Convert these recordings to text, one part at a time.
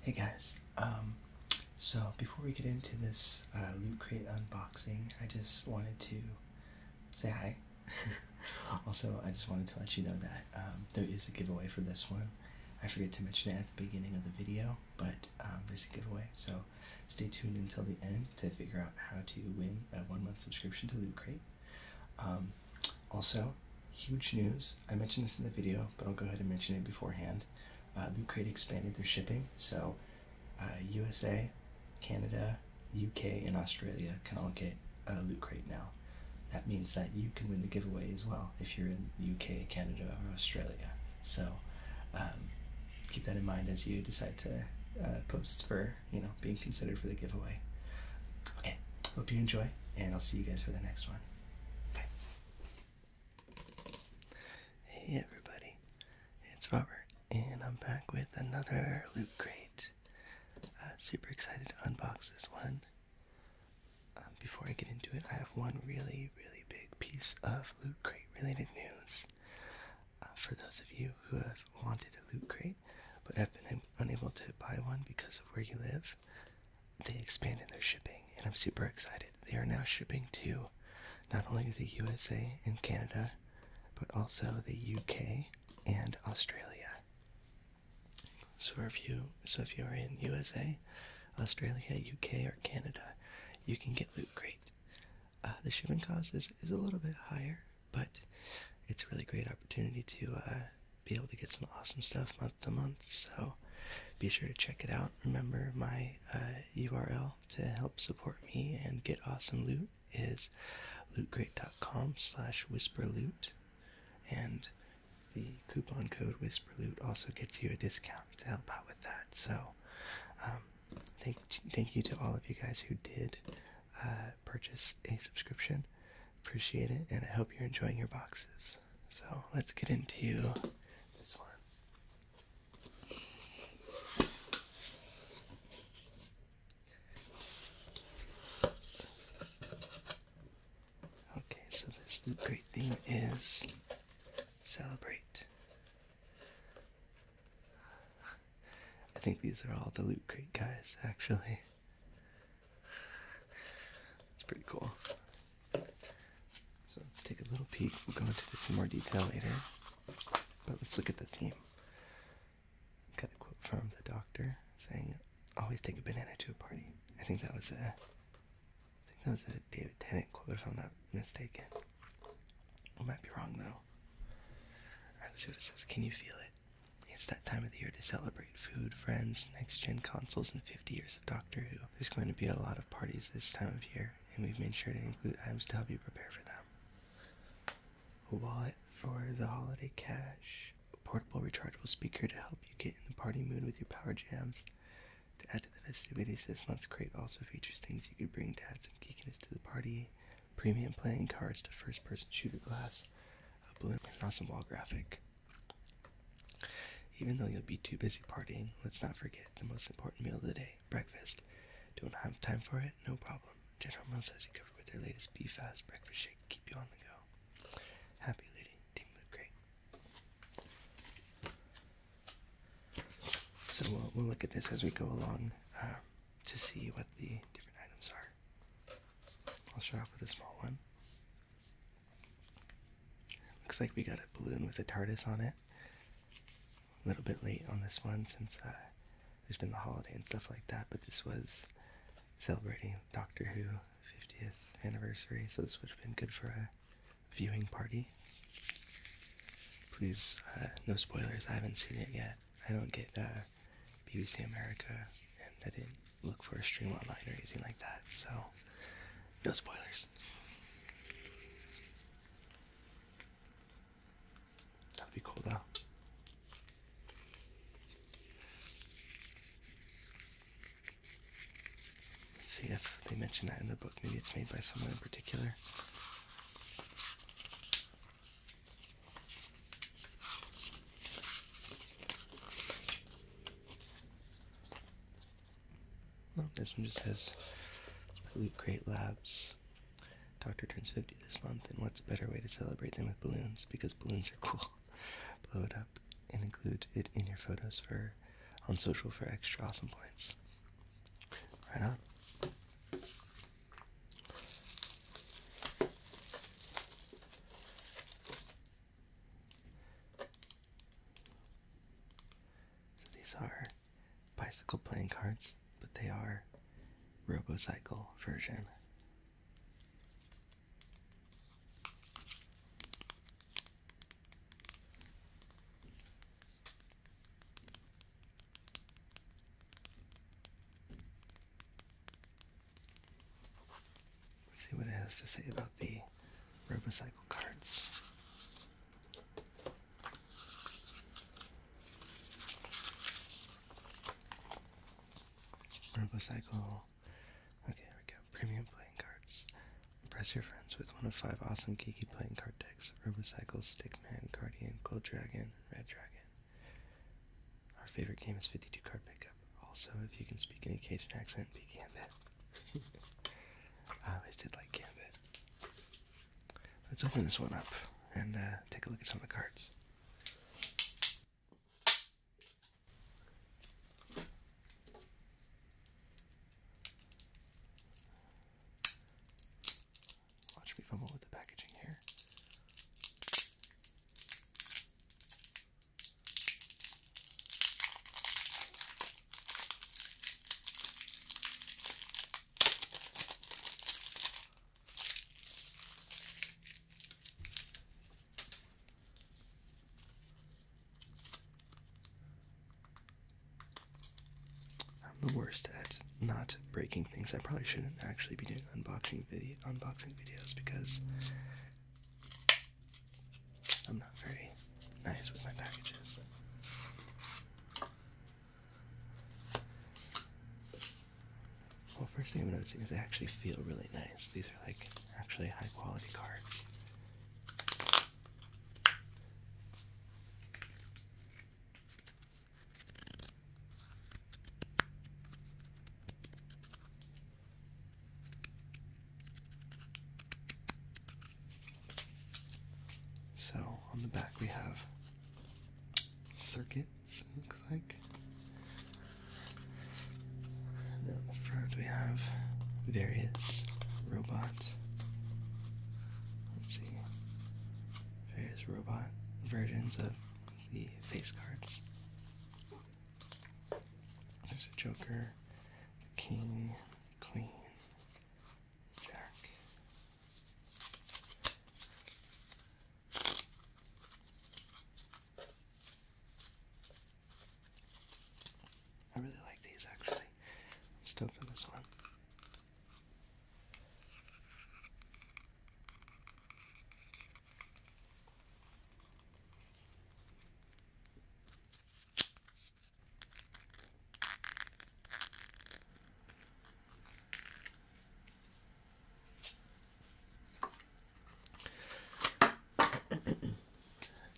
Hey guys, um, so before we get into this uh, Loot Crate unboxing, I just wanted to say hi. also, I just wanted to let you know that um, there is a giveaway for this one. I forget to mention it at the beginning of the video, but um, there's a giveaway, so stay tuned until the end to figure out how to win a one month subscription to Loot Crate. Um, um, also, huge news. I mentioned this in the video, but I'll go ahead and mention it beforehand. Uh, Loot Crate expanded their shipping, so USA, uh, Canada, UK, and Australia can all get uh, Loot Crate now. That means that you can win the giveaway as well if you're in UK, Canada, or Australia. So um, keep that in mind as you decide to uh, post for you know being considered for the giveaway. Okay, hope you enjoy, and I'll see you guys for the next one. Hey everybody, it's Robert, and I'm back with another loot crate. Uh, super excited to unbox this one. Um, before I get into it, I have one really, really big piece of loot crate related news. Uh, for those of you who have wanted a loot crate but have been unable to buy one because of where you live, they expanded their shipping, and I'm super excited. They are now shipping to not only the USA and Canada, but also the UK and Australia. So if you so if you're in USA, Australia, UK, or Canada, you can get Loot Crate. Uh, the shipping cost is, is a little bit higher, but it's a really great opportunity to uh, be able to get some awesome stuff month to month. So be sure to check it out. Remember, my URL uh, to help support me and get awesome loot is lootcrate.com slash whisperloot. And the coupon code whisperloot also gets you a discount to help out with that. So um, thank, thank you to all of you guys who did uh, purchase a subscription. Appreciate it, and I hope you're enjoying your boxes. So let's get into this one. Okay, so this great theme is celebrate. I think these are all the Loot Crate guys, actually. It's pretty cool. So let's take a little peek. We'll go into this in more detail later. But let's look at the theme. Got a quote from the doctor saying, always take a banana to a party. I think that was a, I think that was a David Tennant quote if I'm not mistaken. I might be wrong though. Alright, let's see what it says. Can you feel it? It's that time of the year to celebrate food, friends, next gen consoles, and 50 years of Doctor Who. There's going to be a lot of parties this time of year, and we've made sure to include items to help you prepare for them. A wallet for the holiday cash, a portable rechargeable speaker to help you get in the party mood with your power jams. To add to the festivities, this month's crate also features things you could bring to add some geekiness to the party, premium playing cards to first person shooter glass, a balloon and awesome wall graphic. Even though you'll be too busy partying, let's not forget the most important meal of the day, breakfast. Don't have time for it? No problem. General Mills has you covered with their latest Be Fast breakfast shake. Keep you on the go. Happy lady. Team look great. So we'll, we'll look at this as we go along uh, to see what the different items are. I'll start off with a small one. Looks like we got a balloon with a TARDIS on it. A little bit late on this one since uh, there's been the holiday and stuff like that, but this was celebrating Doctor Who 50th anniversary, so this would have been good for a viewing party. Please, uh, no spoilers, I haven't seen it yet. I don't get uh, BBC America, and I didn't look for a stream online or anything like that, so no spoilers. That'd be cool though. see if they mention that in the book. Maybe it's made by someone in particular. Oh, this one just says Loot Crate Labs. Doctor turns 50 this month, and what's a better way to celebrate than with balloons? Because balloons are cool. Blow it up and include it in your photos for on social for extra awesome points. Right on. So these are bicycle playing cards, but they are RoboCycle version. Let's see what it has to say about the Robocycle cards. Robocycle. Okay, here we go. Premium playing cards. Impress your friends with one of five awesome geeky playing card decks Robocycle, Stickman, Guardian, Gold Dragon, Red Dragon. Our favorite game is 52 card pickup. Also, if you can speak any Cajun accent, be Gambit. I always did like Gambit. Let's open this one up and uh, take a look at some of the cards. Watch me fumble with the packaging here. I'm the worst at not breaking things. I probably shouldn't actually be doing unboxing video unboxing videos because I'm not very nice with my packages. Well, first thing I'm noticing is they actually feel really nice. These are like actually high quality cards. So on the back we have circuits, it looks like. And then on the front we have various robots. Let's see various robot versions of the face cards. There's a Joker, King, Queen, Jack. I really like these actually. I'm stoked on this one.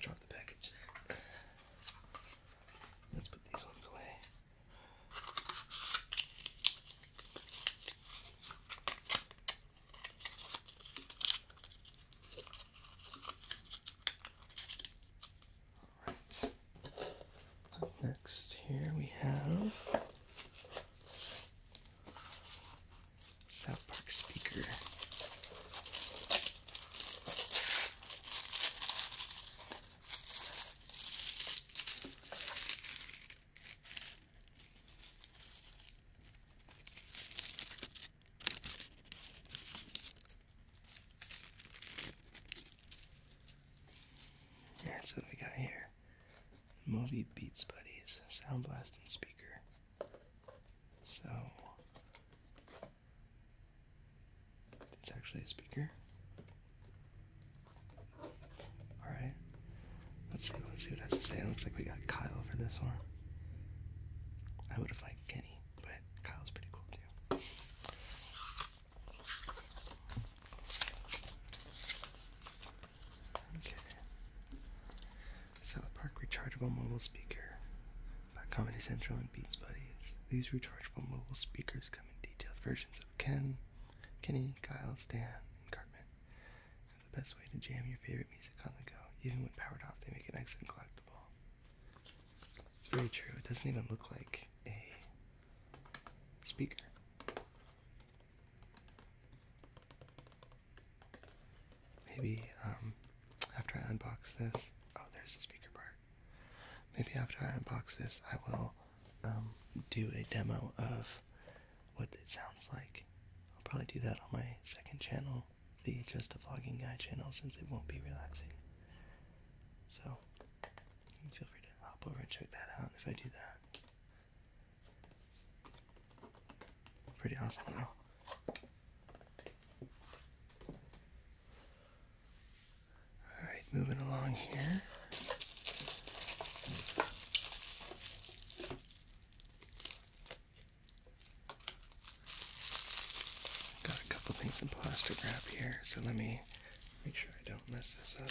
Drop the package there. Let's put these ones away. All right. next, here we have South Park speaker. That's what we got here Moby Beats Buddies Sound blasting Speaker. So it's actually a speaker. Alright. Let's see, let's see what it has to say. It looks like we got Kyle for this one. I would have liked Kenny, but Kyle's pretty cool too. Okay. South Park rechargeable mobile speaker by Comedy Central and Beats Buddies. These rechargeable mobile speakers come detailed versions of Ken, Kenny, Kyle, Stan, and Cartman. the best way to jam your favorite music on the go. Even when powered off, they make an excellent collectible. It's very true. It doesn't even look like a speaker. Maybe um, after I unbox this, oh, there's the speaker part. Maybe after I unbox this, I will um, do a demo of what it sounds like. I'll probably do that on my second channel, the Just a Vlogging Guy channel, since it won't be relaxing. So, feel free to hop over and check that out if I do that. Pretty awesome, though. Alright, moving along here. Got a couple things in plastic wrap here, so let me make sure I don't mess this up.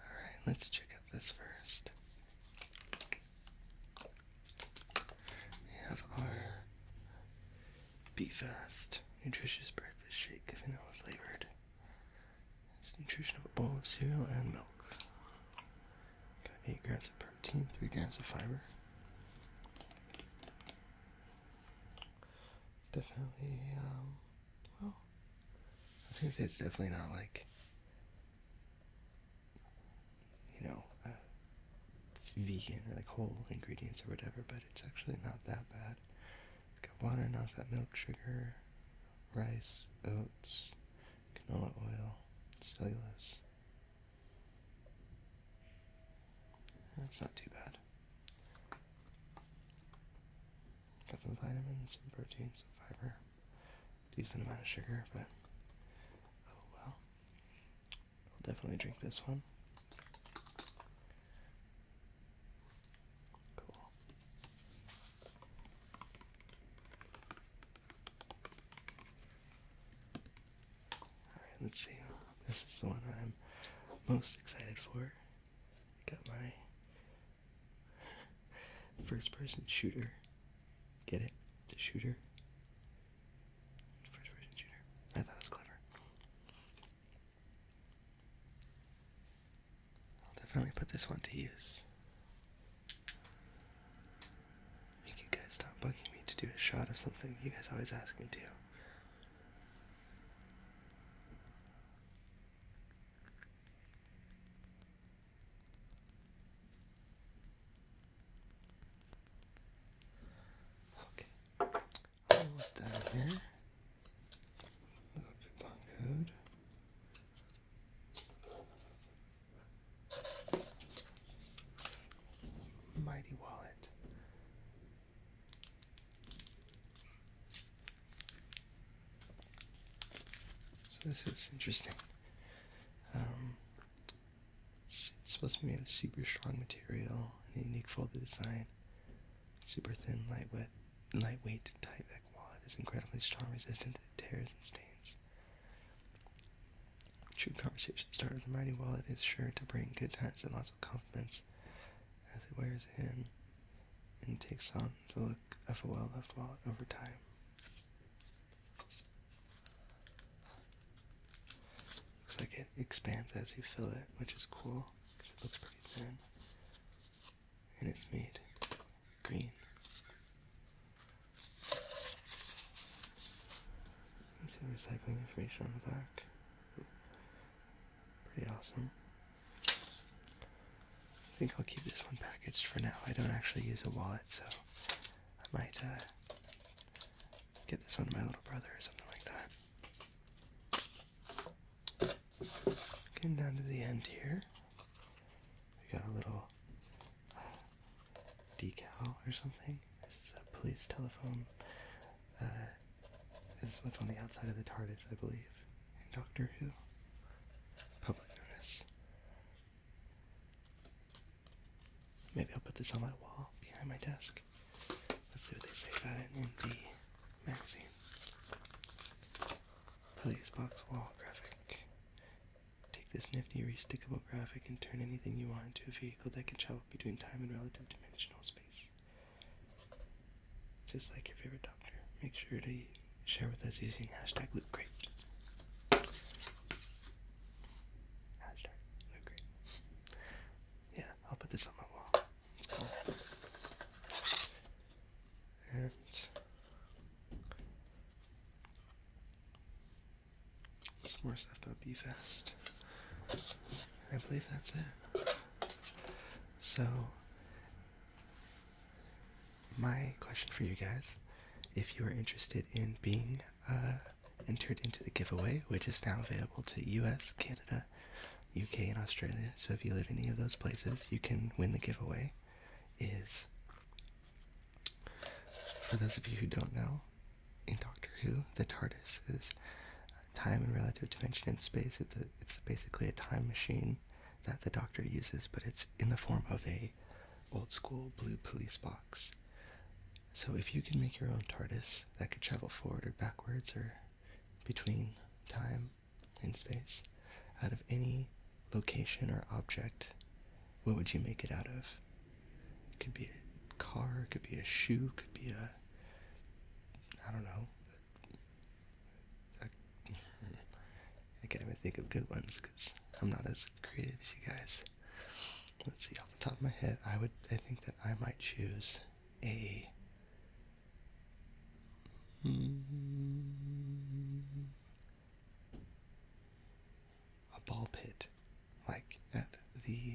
Alright, let's check out this first. We have our Be Fast Nutritious Breakfast Shake, vanilla flavored. It's nutrition of a bowl of cereal and milk. Got 8 grams of protein, 3 grams of fiber. It's definitely, um, well, I was gonna say it's definitely not like, you know, uh, vegan or like whole ingredients or whatever, but it's actually not that bad. got water, non fat milk, sugar, rice, oats, canola oil, cellulose. That's not too bad. Got some vitamins, some protein, some fiber, decent amount of sugar, but oh well. I'll definitely drink this one. Cool. Alright, let's see. This is the one I'm most excited for. I got my first person shooter. Get it? The shooter. First person shooter. I thought it was clever. I'll definitely put this one to use. Make you guys stop bugging me to do a shot of something you guys always ask me to. Okay, almost out here. Little coupon code. Mighty Wallet. So this is interesting. Um, it's, supposed to be a super strong material and unique folded design. Super thin, lightweight, lightweight, tight back wallet is incredibly strong, resistant to tears and stains. True conversation starter, the mighty wallet is sure to bring good times and lots confidence as it wears in and takes on the look of a well-loved wallet over time. Looks like it expands as you fill it, which is cool because it looks pretty thin. And it's made green. Some recycling information on the back. Pretty awesome. I think I'll keep this one packaged for now. I don't actually use a wallet, so I might uh, get this one to my little brother or something like that. Getting down to the end here, we got a little decal or something. This is a police telephone uh, this is what's on the outside of the TARDIS, I believe, in Doctor Who. Public notice. Maybe I'll put this on my wall behind my desk. Let's see what they say about it in the magazine. Police wall graphic. Take this nifty restickable graphic and turn anything you want into a vehicle that can travel between time and relative dimensional space. Just like your favorite doctor, make sure to share with us using hashtag LoopCrate. Hashtag LoopCrate. Yeah, I'll put this on my wall. It's cool. And some more stuff about BFast. I believe that's it. So, my question for you guys if you are interested in being uh, entered into the giveaway, which is now available to US, Canada, UK, and Australia, so if you live in any of those places, you can win the giveaway. Is for those of you who don't know, in Doctor Who, the TARDIS is time and relative dimension in space. It's it's basically a time machine that the Doctor uses, but it's in the form of a old school blue police box. So if you can make your own TARDIS that could travel forward or backwards or between time and space out of any location or object what would you make it out of? It could be a car, it could be a shoe, it could be a I don't know. I, can't even think of good ones because I'm not as creative as you guys. Let's see. Off the top of my head, I would. I think that I might choose a. Hmm, a ball pit, like at the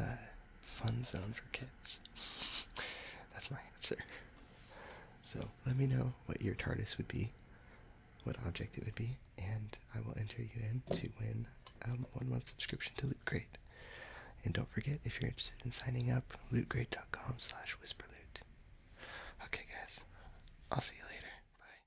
uh, fun zone for kids. That's my answer. So let me know what your TARDIS would be, what object it would be, and I will enter you in to win a one month subscription to Loot Crate. And don't forget, if you're interested in signing up, lootgrade.com slash whisperloot. Okay guys, I'll see you later. Bye.